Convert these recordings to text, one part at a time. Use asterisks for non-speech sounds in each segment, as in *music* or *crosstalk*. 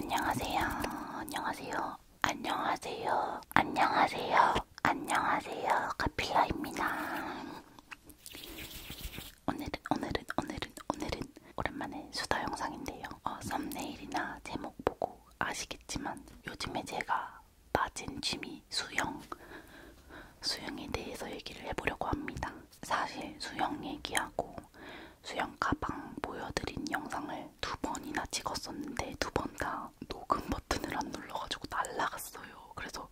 안녕하세요. 안녕하세요. 안녕하세요. 안녕하세요. 안녕하세요. 카필라입니다. 오늘은 오늘은 오늘은 오늘은 오랜만에 수다 영상인데요. 어, 썸네일이나 제목 보고 아시겠지만 요즘에 제가 빠진 취미 수영 수영에 대해서 얘기를 해보려고 합니다. 사실 수영 얘기하고 수영 가방 보여드린 영상을 두 번이나 찍었었는데 두 번 다 녹음 버튼을 안 눌러가지고 날라갔어요. 그래서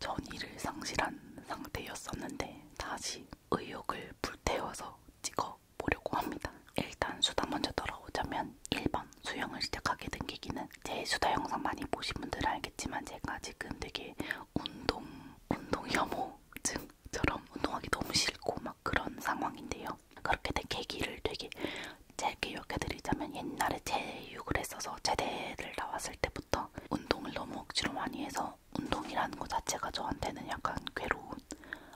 전의를 상실한 상태였었는데 다시 의욕을 불태워서 찍어보려고 합니다. 일단 수다 먼저 돌아오자면 1번 수영을 시작하게 된 계기는 제 수다 영상 많이 보신 분들은 알겠지만 제가 지금 되게 운동, 운동 혐오증 저처럼 운동하기 너무 싫고 막 그런 상황인데요. 그렇게 된 계기를 되게 짧게 이야기드리자면 옛날에 체육을 했어서 제대를 나왔을 때부터 운동을 너무 억지로 많이 해서 운동이라는 것 자체가 저한테는 약간 괴로운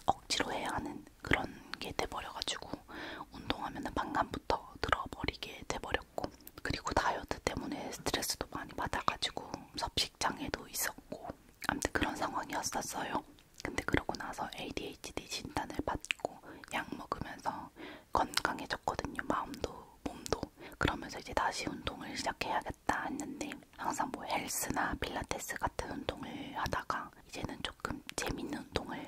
억지로 해야 하는 그런 게 돼버려가지고 운동하면 반감부터 들어버리게 돼버렸고 그리고 다이어트 때문에 스트레스도 많이 받아가지고 섭식장애도 있었고 아무튼 그런 상황이었었어요. 근데 그러고 나서 ADHD 진단을 받고 약 먹으면서 건강해졌거든요. 마음도 몸도. 그러면서 이제 다시 운동을 시작해야겠다 했는데 항상 뭐 헬스나 필라테스 같은 운동을 하다가 이제는 조금 재밌는 운동을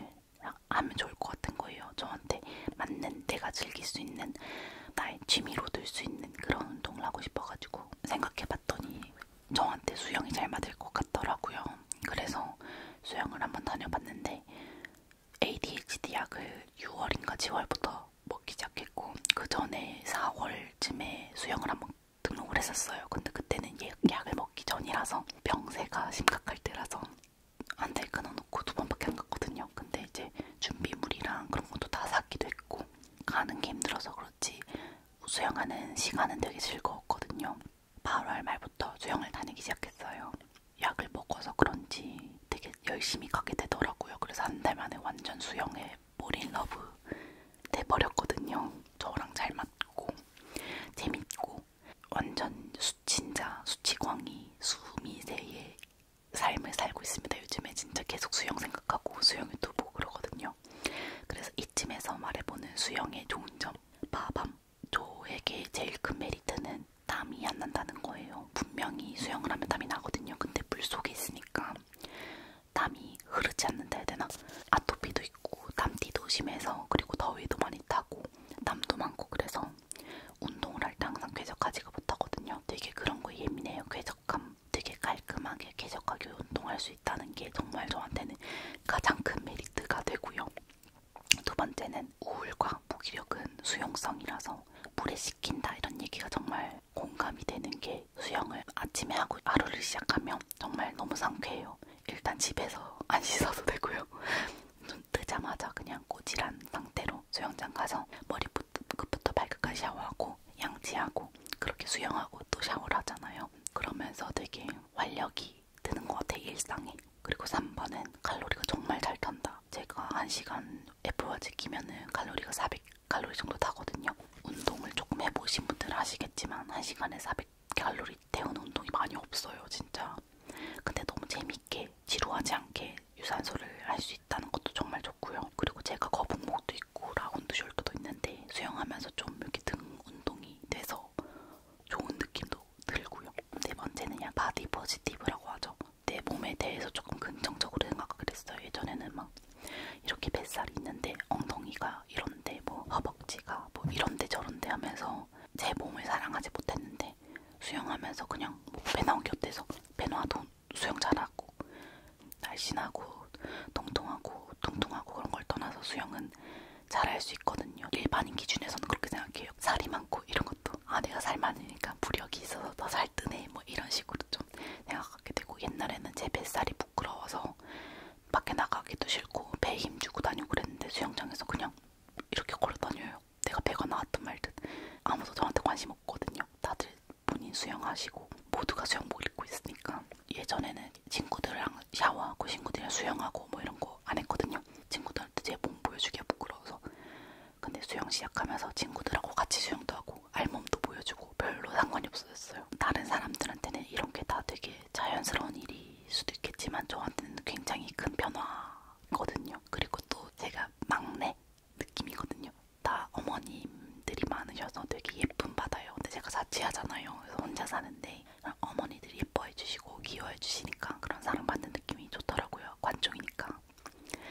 하면 좋을 것 같은 거예요. 저한테 맞는 내가 즐길 수 있는 나의 취미로 들 수 있는 그런 운동을 하고 싶어가지고 생각해 다녀봤더니 저한테 수영이 잘 맞을 것 같더라고요. 그래서 수영을 한번 다녀봤는데 ADHD 약을 6월인가 그 10월부터 먹기 시작했고 그 전에 4월쯤에 수영을 한번 등록을 했었어요. 근데 그때는 예, 약을 먹기 전이라서 병세가 심각할 때라서 한달 끊어놓고 두 번밖에 안 갔거든요. 근데 이제 준비물이랑 그런 것도 다 샀기도 했고 가는 게 힘들어서 그렇지 수영하는 시간은 되게 즐거웠거든요. 8월 말부터 수영을 다니기 시작했어요. 약을 먹어서 그런지 되게 열심히 가게 되더라고요. 그래서 한 달 만에 완전 수영에 몰인러브 돼버렸거든요. 저랑 잘 맞고 재밌고 완전 수, 진짜 수치광이 수미세의 삶을 살고 있습니다. 요즘에 진짜 계속 수영 생각하고 수영 유튜브 그러거든요. 있거든요. 그래서 이쯤에서 말해보는 수영의 좋은 점. 빠밤. 저에게 제일 큰 메리트는 땀이 안 난다는 거예요. 분명히 수영을 하면 땀이 나거든요. 근데 물 속에 있으니까 땀이 흐르지 않는다 해야 되나? 아토피도 있고 땀띠도 심해서 그리고 더위도 많이 타고 땀도 많고 그래서 운동을 할 때 항상 쾌적하지가 못하거든요. 되게 그런 거 예민해요. 쾌적함 되게 깔끔하게 쾌적하게 운동할 수 있다는 게 정말 저한테는 가장 큰 메리트가 되고요. 두 번째는 우울과 무기력은 수용성이라서 물에 씻긴다 이런 얘기가 정말 공감이 되는 게 수영을 아침에 하고 하루를 시작하면 정말 너무 상쾌해요. 일단 집에서 *laughs* 안 씻어도 되고요. 눈 뜨자마자 그냥 꼬질한 상태로 수영장 가서 머리부터 발끝까지 샤워하고 또 양치하고 그렇게 수영하고 또 샤워를 하잖아요. 그러면서 되게 활력이 드는 것 같아요. 일상이. 그리고 3번은 칼로리가 정말 잘 탄다. 제가 1시간 애플워치 끼면은 칼로리가 400칼로리 정도 타거든요. 운동을 조금 해보신 분들은 아시겠지만 1시간에 400칼로리 태우는 운동이 많이 없어요. 진짜. 근데 너무 재밌게 지루하지 않게 유산소를 할 수 있다는 것도 정말 좋고요. 그리고 제가 거북목도 있고 라운드 숄더도 있는데 수영하면서 좀 이렇게 등 운동이 돼서 좋은 느낌도 들고요. 네 번째는 그냥 바디 포지티브라고 하죠. 내 몸에 대해서 조금 긍정적으로 생각하게 됐어요. 예전에는 막 이렇게 뱃살이 있는데 엉덩이가 이런데 뭐 허벅지가 뭐 이런데 저런데 하면서 제 몸을 사랑하지 못했는데 수영하면서 그냥 뭐배 나온 게 어때서 배 놔둔 수영 잘하고 날씬하고 통통하고 통통하고 그런 걸 떠나서 수영은 잘할 수 있거든요. 일반인 기준에서는 그렇게 생각해요. 살이 많고 이런 것도 아 내가 살 많으니까 부력이 있어서 더 살뜨네 뭐 이런 식으로 좀 생각하게 되고 옛날에는 제 뱃살이 부끄러워서 밖에 나가기도 싫고 배에 힘주고 다니고 그랬는데 수영장에서 그냥 이렇게 걸어다녀요. 내가 배가 나왔든 말든 아무도 저한테 관심 없거든요. 다들 본인 수영하시고 모두가 수영복 입고 있으니까 예전에는 친구들랑 샤워하고 친구들이랑 수영하고 뭐 이런 거 안 했거든요. 친구들한테 제 몸 보여주기가 부끄러워서. 근데 수영 시작하면서 친구들하고 같이 수영도 하고 알몸도 보여주고 별로 상관이 없어졌어요. 다른 사람들한테는 이런 게 다 되게 자연스러운 일일 수도 있겠지만 저한테는 굉장히 큰 변화거든요. 그리고 또 제가 막내 느낌이거든요. 다 어머님들이 많으셔서 되게 예쁜 바다예요. 근데 제가 자취하잖아요. 그래서 혼자 사는데 어머니들이 예뻐해주시고 귀여워해주시니까 그런 사랑받는 느낌이 좋더라고요. 관종이니까.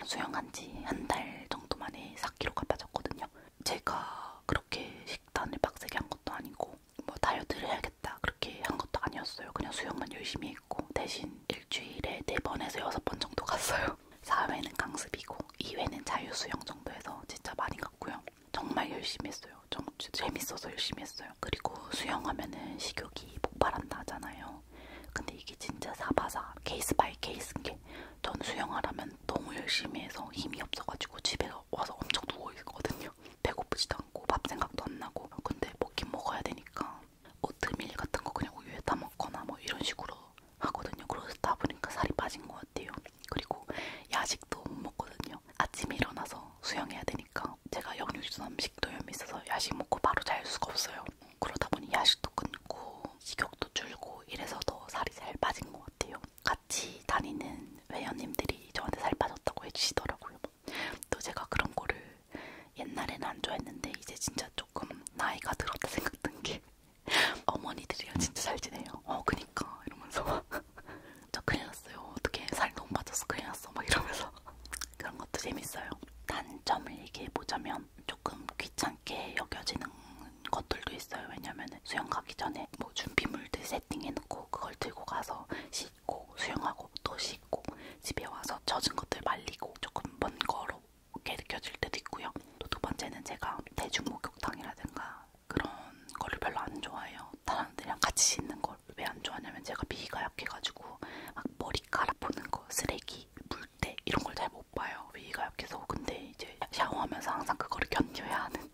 수영한 지 한 달 정도 만에 4kg가 빠졌거든요. 제가 그렇게 식단을 빡세게 한 것도 아니고 뭐 다이어트를 해야겠다 그렇게 한 것도 아니었어요. 그냥 수영만 열심히 했고 대신 일주일에 4번에서 6번 정도 갔어요. 4회는 강습이고 2회는 자유수영 정도에서 진짜 많이 갔고요. 정말 열심히 했어요. 정, 재밌어서 열심히 했어요. 그리고 수영하면은 식욕이 폭발한다 하잖아요. 근데 이게 진짜 사바사 케이스 바이 케이스인 게 전 수영하라면 너무 열심히 해서 힘이 없어가지고 집에 와서 엄청 누워있거든요. 배고프지도 않고 밥 생각도 안 나고 근데 먹긴 먹어야 되니까 오트밀 같은 거 그냥 우유에 타먹거나 뭐 이런 식으로 하거든요. 그러다 보니까 살이 빠진 것 같아요. 그리고 야식도 못 먹거든요. 아침에 일어나서 수영해야 되니까 제가 역류성 식도염이 있어서 야식 먹고 바로 잘 수가 없어요. 그러다 보니 야식도 끊고 식욕도 줄고 이래서 더 살이 잘 빠진 것 같아요. 같이 다니는 회원님들이 저한테 살 빠졌다고 해주시더라고요. 또 제가 그런 거를 옛날에는 안 좋아했는데 이제 진짜 조금 나이가 들었다 생각든 게 어머니들이랑 진짜 잘 지내요. 어, 그니까 이러면서 막저 *laughs* 큰일 났어요. 어떻게 살 너무 빠져서 큰일 났어. 막 이러면서 그런 것도 재밌어요. 단점을 얘기해 보자면 조금 귀찮게 여겨지는 것들도 있어요. 왜냐면 수영 가기 전에 뭐 준비물들 세팅해놓고 그걸 들고 가서 씻고 수영하고 또 씻고 집에 와서 젖은 것들 말리고 조금 번거롭게 느껴질 때도 있고요. 또 두 번째는 제가 대중목욕탕이라든가 그런 거를 별로 안 좋아해요. 다른 사람들이랑 같이 있는 걸 왜 안 좋아하냐면 제가 비위가 약해가지고 막 머리카락 보는 거, 쓰레기, 물때 이런 걸 잘 못 봐요. 비위가 약해서 근데 이제 샤워하면서 항상 그거를 견뎌야 하는.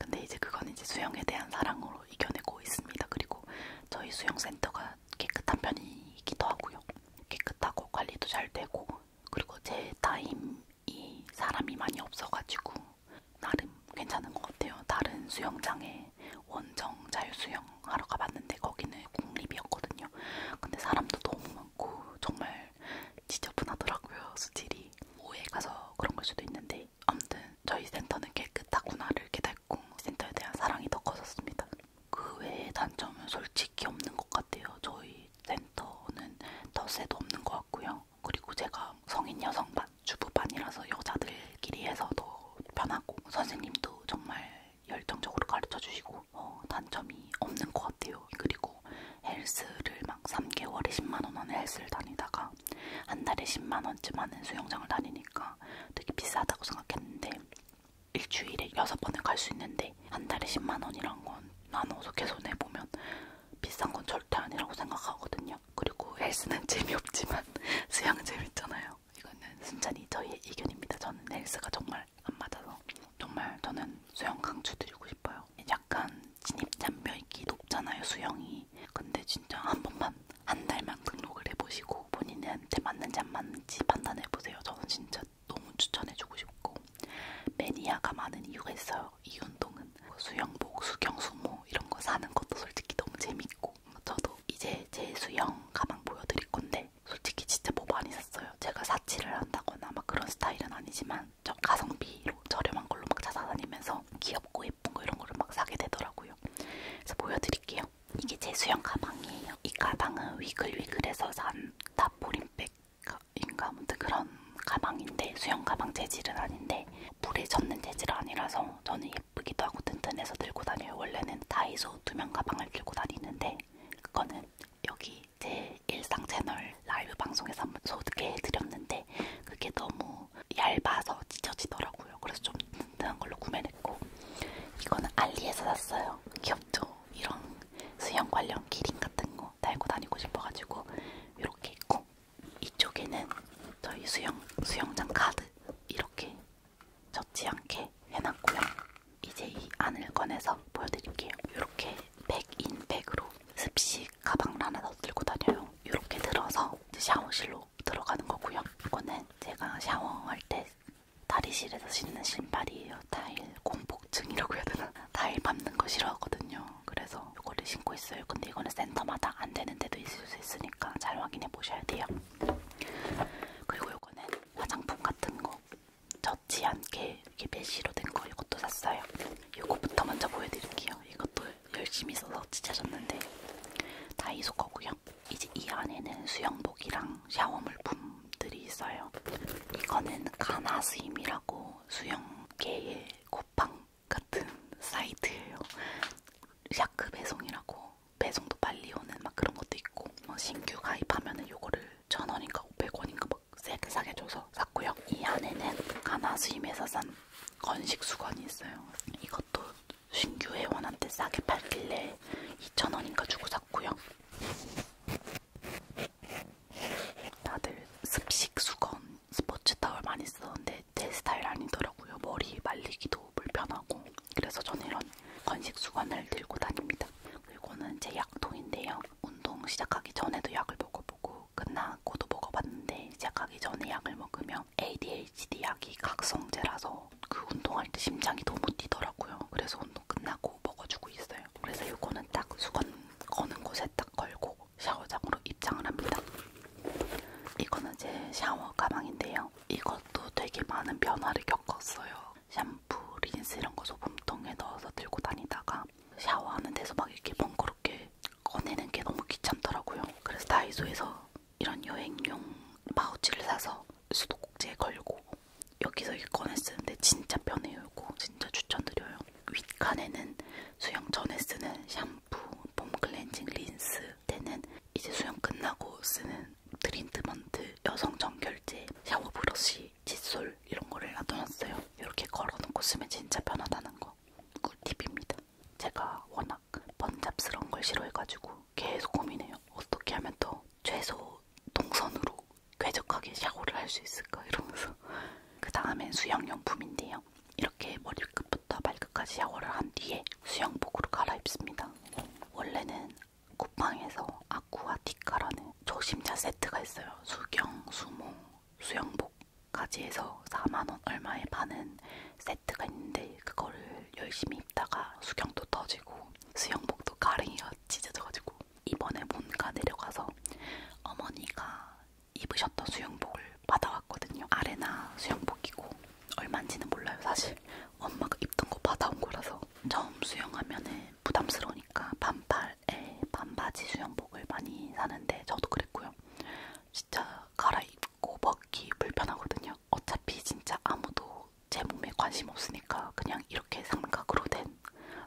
근데 이제 그건 이제 수영에 대한 사랑으로 이겨내고 있습니다. 그리고 저희 수영센터가 깨끗한 편이기도 하고요. 깨끗하고 관리도 잘 되고 그리고 제 타임이 사람이 많이 없어가지고 나름 괜찮은 것 같아요. 다른 수영장에 원정 자유수영 하러 가봤는데 거기는 공립이었거든요. 근데 사람도 너무 많고 정말 지저분하더라고요. 수질이. 오후에 가서 그런 걸 수도 있는데 아무튼 저희 센터는 깨끗하구나를 깨닫고 센터에 대한 사랑이 더 커졌습니다. 그 외에 단점은 솔직히 없는 것 같아요. 저희 센터는 덧세도 없는 것 같고요. 그리고 제가 성인 여성반, 주부반이라서 여자들끼리 해서 더 편하고 선생님도 정말 열정적으로 가르쳐주시고 어, 단점이 없는 것 같아요. 그리고 헬스를 막 3개월에 10만원 하는 헬스를 다니다가 한 달에 10만원쯤 하는 수영장을 다니니까 되게 비싸다고 생각했는데 일주일에 6번을 갈수 있는데 한 달에 10만원이란 건 나눠서 계산해보면 비싼 건 절대 아니라고 생각하거든요. 그리고 헬스는 *laughs* 재미없지만 *laughs* 수영은 재밌잖아요. 이거는 순전히 저희의 의견입니다. 저는 헬스가 정말 안 맞아서 정말 저는 수영 강추드리고 싶어요. 약간 진입장벽이 높잖아요 수영이. 근데 진짜 한 번만 한 달만 등록을 해보시고 본인한테 맞는지 안 맞는지 판단해보세요. 저는 진짜 너무 추천해주고 싶고 매니아가 많은 이유가 있어요. 이 운동은 뭐 수영복, 수경, 수모 이런 거 사는 것도 솔직히 너무 재밌고 저도 이제 제 수영 가방 보여드릴 건데 솔직히 진짜 뭐 많이 샀어요. 제가 사치를 한다거나 막 그런 스타일은 아니지만 저 가성비로 저렴한 걸로 막 찾아다니면서 귀엽고 예쁜 거 이런 거를 막 사게 되더라고요. 그래서 보여드릴게요. 이게 제 수영 가방이에요. 이 가방은 위글위글에서 산 탑보림백 인가 아무튼 그런 가방인데 수영 가방 재질은 아닌데 물에 젖는 재질 아니라서 저는 예쁘기도 하고 튼튼해서 들고 다녀요. 원래는 다이소 투명 가방을 들고 다니는데 그거는 여기 제 일상 채널 라이브 방송에서 한번 소개해드렸는데 그게 너무 얇아서 찢어지더라고요. 그래서 좀 튼튼한 걸로 구매했고 이거는 알리에서 샀어요. 귀엽죠? 이런 수영 관련 기린 같은 거 달고 다니고 싶어가지고 이렇게 있고 이쪽에는 저희 수영 수영장 카드 이렇게 젖지 않게 해놨고요. 이제 이 안을 꺼내서 보여드릴게요. 이렇게 백인백으로 습식 가방을 하나 더 들고 다녀요. 이렇게 들어서 샤워실로 들어가는 거고요. 이거는 제가 샤워할 때 다리실에서 신는 신발이에요. 타일 공포증이라고 해야 되나? 타일 *laughs* 밟는 거 싫어하거든요. 그래서 이거를 신고 있어요. 근데 이거는 센터마다 안 되는 데도 있을 수 있으니까 잘 확인해 보셔야 돼요. 그리고 이거는 화장품 같은 거 젖지 않게 이렇게 메쉬로 된거 이것도 샀어요. 이거부터 먼저 보여드릴게요. 이것도 열심히 써서 지쳐졌는데 다이소 거고요. 이제 이 안에는 수영복이랑 샤워 물품들이 있어요. 이거는 가나스임이라고 뭐 수영계의 쿠팡 같은 사이트예요. 샤크 배송이라고 배송도 빨리 오는 막 그런 것도 있고 뭐 신규 가입하면은 요거를 천 원인가 오백 원인가 막 세게 사게 줘서 샀고요. 이 안에는 가나수임에서 산 건식 수건이 있어요. 이것도 신규 회원한테 싸게 팔길래 2,000원인가 주고 샀고요. 다들 습식 수건, 스포츠 타월 많이 쓰는데 제 스타일 아니더라고요. 머리 말리기도 불편하고 그래서 저는 이런 건식 수건을 들고 다닙니다. 그리고는 제 약통인데요. 운동 시작하기 전에도 약을 먹어보고 끝나고도 먹어봤는데 시작하기 전에 약을 먹으면 ADHD 약이 각성제라서 그 운동할 때 심장이 너무 뛰더라고요. 그래서 운동 끝나고 먹어주고 있어요. 그래서 이거는 딱 수건 거는 곳에 딱 걸고 샤워장으로 입장을 합니다. 이거는 제 샤워 가방인데요. 이것도 되게 많은 변화를 겪었어요. 샴푸, 린스 이런 거 소금통에 넣어서 들고 다니다가 샤워하는 데서 막 이렇게 번거롭게 꺼내는 게 너무 귀찮더라고요. 그래서 다이소에서 이런 여행용 파우치를 사서 수도꼭지에 걸고 여기서 이렇게 꺼내 쓰는데 진짜 편해요. 이거 진짜 추천드려요. 윗칸에는 수영 전에 쓰는 샴푸, 폼 클렌징 린스 때는 이제 수영 끝나고 쓰는 트리트먼트, 여성 정결제, 샤워 브러쉬, 칫솔 이런 거를 놔둬놨어요. 이렇게 걸어놓고 쓰면 진짜 편하다는 거 꿀팁입니다. 제가 워낙 번잡스러운 걸 싫어해가지고 계속 고민해요. 어떻게 하면 더 최소 동선으로 쾌적하게 샤워를 할 수 있을까 이러면서 그 다음엔 수영용품인데요. 이렇게 머리끝부터 발끝까지 샤워를 한 뒤에 수영복으로 갈아입습니다. 원래는 쿠팡에서 아쿠아티카라는 조심자 세트가 있어요. 수경, 수모, 수영복까지 해서 4만원 얼마에 파는 세트가 있는데 그거를 열심히 입다가 수경도 터지고 수영복도 가랭이가 찢어져가지고 이번에 뭔가 내려가서 어머니가 입으셨던 수영복을 받아왔거든요. 아레나 수영복이고 얼마인지는 몰라요 사실. 엄마가 입던 거 받아온 거라서 처음 수영하면은 부담스러우니까 반팔에 반바지 수영복을 많이 사는데 저도 그랬고요. 진짜 갈아입고 벗기 불편하거든요. 어차피 진짜 아무도 제 몸에 관심 없으니까 그냥 이렇게 삼각으로 된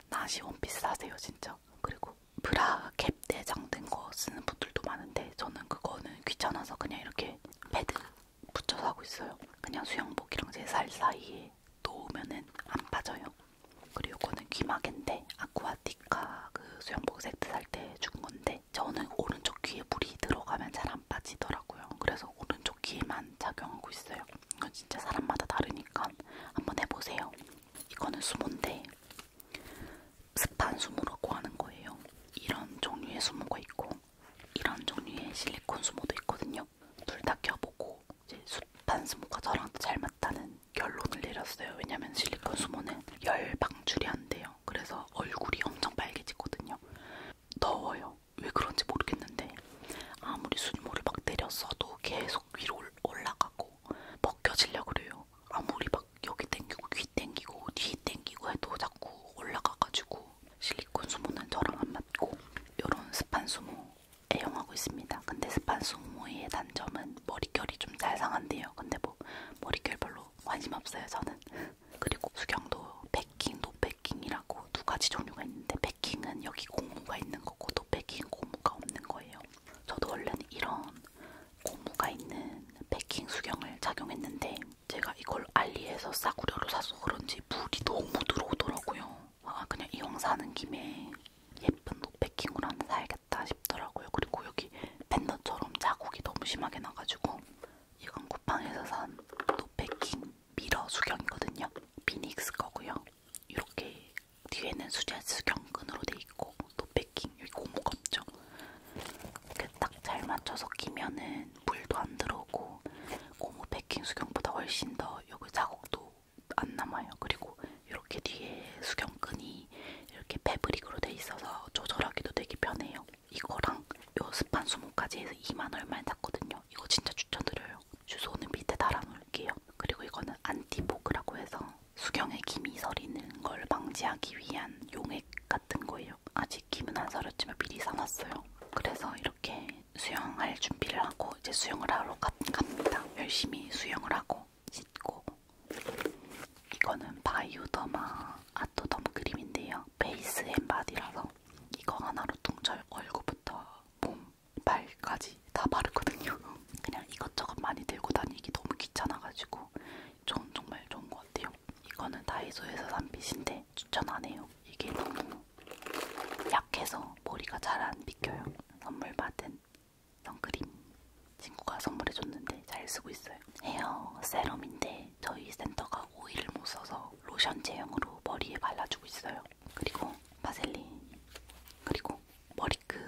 나시 원피스 사세요 진짜. 있죠. 그리고 브라 캡 내장된 거 쓰는 분들도 많은데 저는 그거는 귀찮아서 그냥 이렇게 패드 붙여서 하고 있어요. 그냥 수영복이랑 제 살 사이에 놓으면은 안 빠져요. 그리고 이거는 귀마개인데 아쿠아티카 그 수영복 세트 살 때 준 건데 저는 오른쪽 귀에 물이 들어가면 잘 안 빠지더라고요. 그래서 오른쪽 귀에만 작용하고 있어요. 이건 진짜 사람마다 다르니까 한번 해보세요. 이거는 수모인데 습한 수모라고 하는 거예요. 이런 종류의 수모가 있고 이런 종류의 실리콘 수모도 있거든요. 둘 다 껴보고 이제 습한 수모가 저랑 잘 맞다는 결론을 내렸어요. 왜냐면 실리콘 수모는 열 방출이 안 돼요. 그래서 얼굴이 엄청 빨개지거든요. 더워요. 왜 그런지 모르겠는데 아무리 수모를 막 때렸어도 계속 위로 올라가고 벗겨지려고 그래요. 아무리 막 여기 땡기고 귀 땡기고 뒤 땡기고 해도 자꾸 올라가가지고 실리콘 수모는 저랑 안 맞고 이런 스판 수모 애용하고 있습니다. 근데 스판 수모의 단점은 머릿결이 좀 잘 상한데요. 근데 뭐 머릿결 별로 관심 없어요 저는. *laughs* 그리고 수경도 백킹, 노백킹이라고 두 가지 종류가 있는데 백킹은 여기 고무가 있는 거고 노백킹 고무가 없는 거예요. 저도 원래는 이런 고무가 있는 패킹 수경을 착용했는데 제가 이걸 알리에서 싸구려로 사서 그런지 물이 너무 들어오더라고요. 아 그냥 이왕 사는 김에 예쁜 노패킹으로 하나 사야겠다 싶더라고요. 그리고 여기 팬더처럼 자국이 너무 심하게 나가지고 이건 쿠팡에서 산 노패킹 미러 수경이거든요. 피닉스 거고요. 이렇게 뒤에는 수제스 경근으로 돼 있고 노패킹 여기 고무 없죠? 이렇게 딱 잘 맞춰서 끼면은 물도 안 들어오고 고무 패킹 수경보다 훨씬 더 여기 자국도 안 남아요. 그리고 이렇게 뒤에 수경끈이 이렇게 패브릭으로 돼 있어서 조절하기도 되게 편해요. 이거랑 요 스판 20까지 해서 2만 얼마에 샀거든요. 이거 진짜 추천드려요. 주소는 밑에 달아놓을게요. 그리고 이거는 안티보그라고 해서 수경에 김이 서리는 걸 방지하기 위한 용액 같은 거예요. 아직 김은 안 서렸지만 미리 사놨어요. 그래서 이렇게 수영할 준비를 하고 이제 수영을 하러 갑니다. 열심히 수영을 하고 씻고 이거는 바이오더마 아토덤 크림인데요. 베이스 앤바디라서 이거 하나로 통절 얼굴부터 몸, 발까지 가지 다 바르거든요. *laughs* 그냥 이것저것 많이 들고 다니기 너무 귀찮아가지고 전 정말 좋은 것 같아요. 이거는 다이소에서 산 빗인데 추천 안 해요. 이게 너무 약해서 머리가 잘 안 비껴요. 선물 받은 선크림 친구가 선물해줬는데 잘 쓰고 있어요. 헤어 세럼인데 저희 센터가 오일을 못 써서 로션 제형으로 머리에 발라주고 있어요. 그리고 바셀린 그리고 머리끈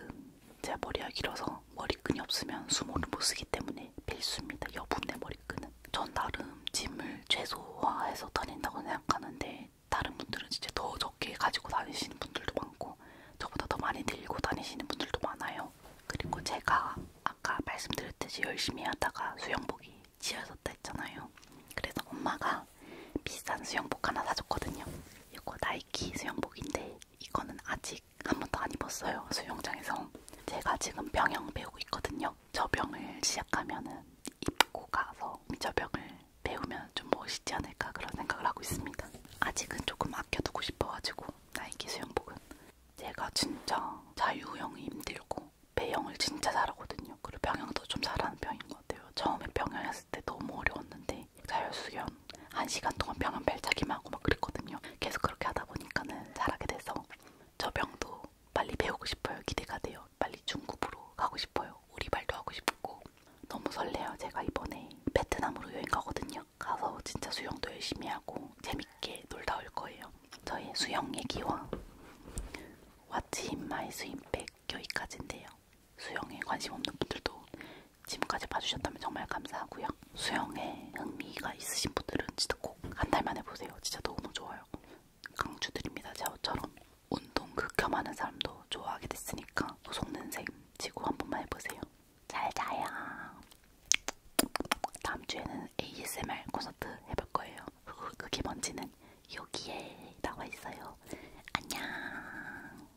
제가 머리가 길어서 머리끈이 없으면 수모를 못 쓰기 때문에 필수입니다. 여분의 머리끈은 전 나름 짐을 최소화해서 다닌다고 생각하는데 다른 분들은 진짜 더 적게 가지고 다니시는 분들도 많고 저보다 더 많이 들고 다니시는 분들도 많아요. 그리고 제가 아까 말씀드렸듯이 열심히 하다가 수영복이 지어졌다 했잖아요. 그래서 엄마가 비싼 수영복 하나 사줬거든요. 이거 나이키 수영복인데 이거는 아직 한 번도 안 입었어요. 수영장에서 제가 지금 병영 배우고 있거든요. 저병을 시작하면은 입고 가서 저병을 배우면 좀 멋있지 않을까 그런 생각을 하고 있습니다. 아직은 조금 아껴두고 싶어가지고 나이키 수영복은 제가 진짜 자유형이 힘들고 배영을 진짜 잘하거든요. 그리고 병영도 좀 잘하는 편인 것 같아요. 처음에 병영 했을 때 너무 어려웠는데 자율수련 1시간 동안 벼만 발차기만 하고 막 그랬거든요. 계속 그렇게 하다 보니까는 잘하게 돼서 저 병도 빨리 배우고 싶어요. 기대가 돼요. 빨리 중국으로 가고 싶어요. 우리말도 하고 싶고 너무 설레요. 제가 이번에 베트남으로 여행 가거든요. 가서 진짜 수영도 열심히 하고 재밌게 놀다 올 거예요. 저의 수영 얘기와 왓츠인 마이 스윙백 여기까지인데요. 수영에 관심 없는 분들도 지금까지 봐주셨다면 정말 감사하고요. 수영에 흥미가 있으신 분들은 진짜 꼭 한 달 만에 보세요. 진짜 너무 좋아요. 강추드립니다. 저처럼 운동 극혐하는 사람도 좋아하게 됐으니까 속는 셈 지고 한 번만 해보세요. 잘 자요. 다음 주에는 ASMR 콘서트 해볼 거예요. *laughs* 그게 뭔지는 여기에 나와 있어요. 안녕.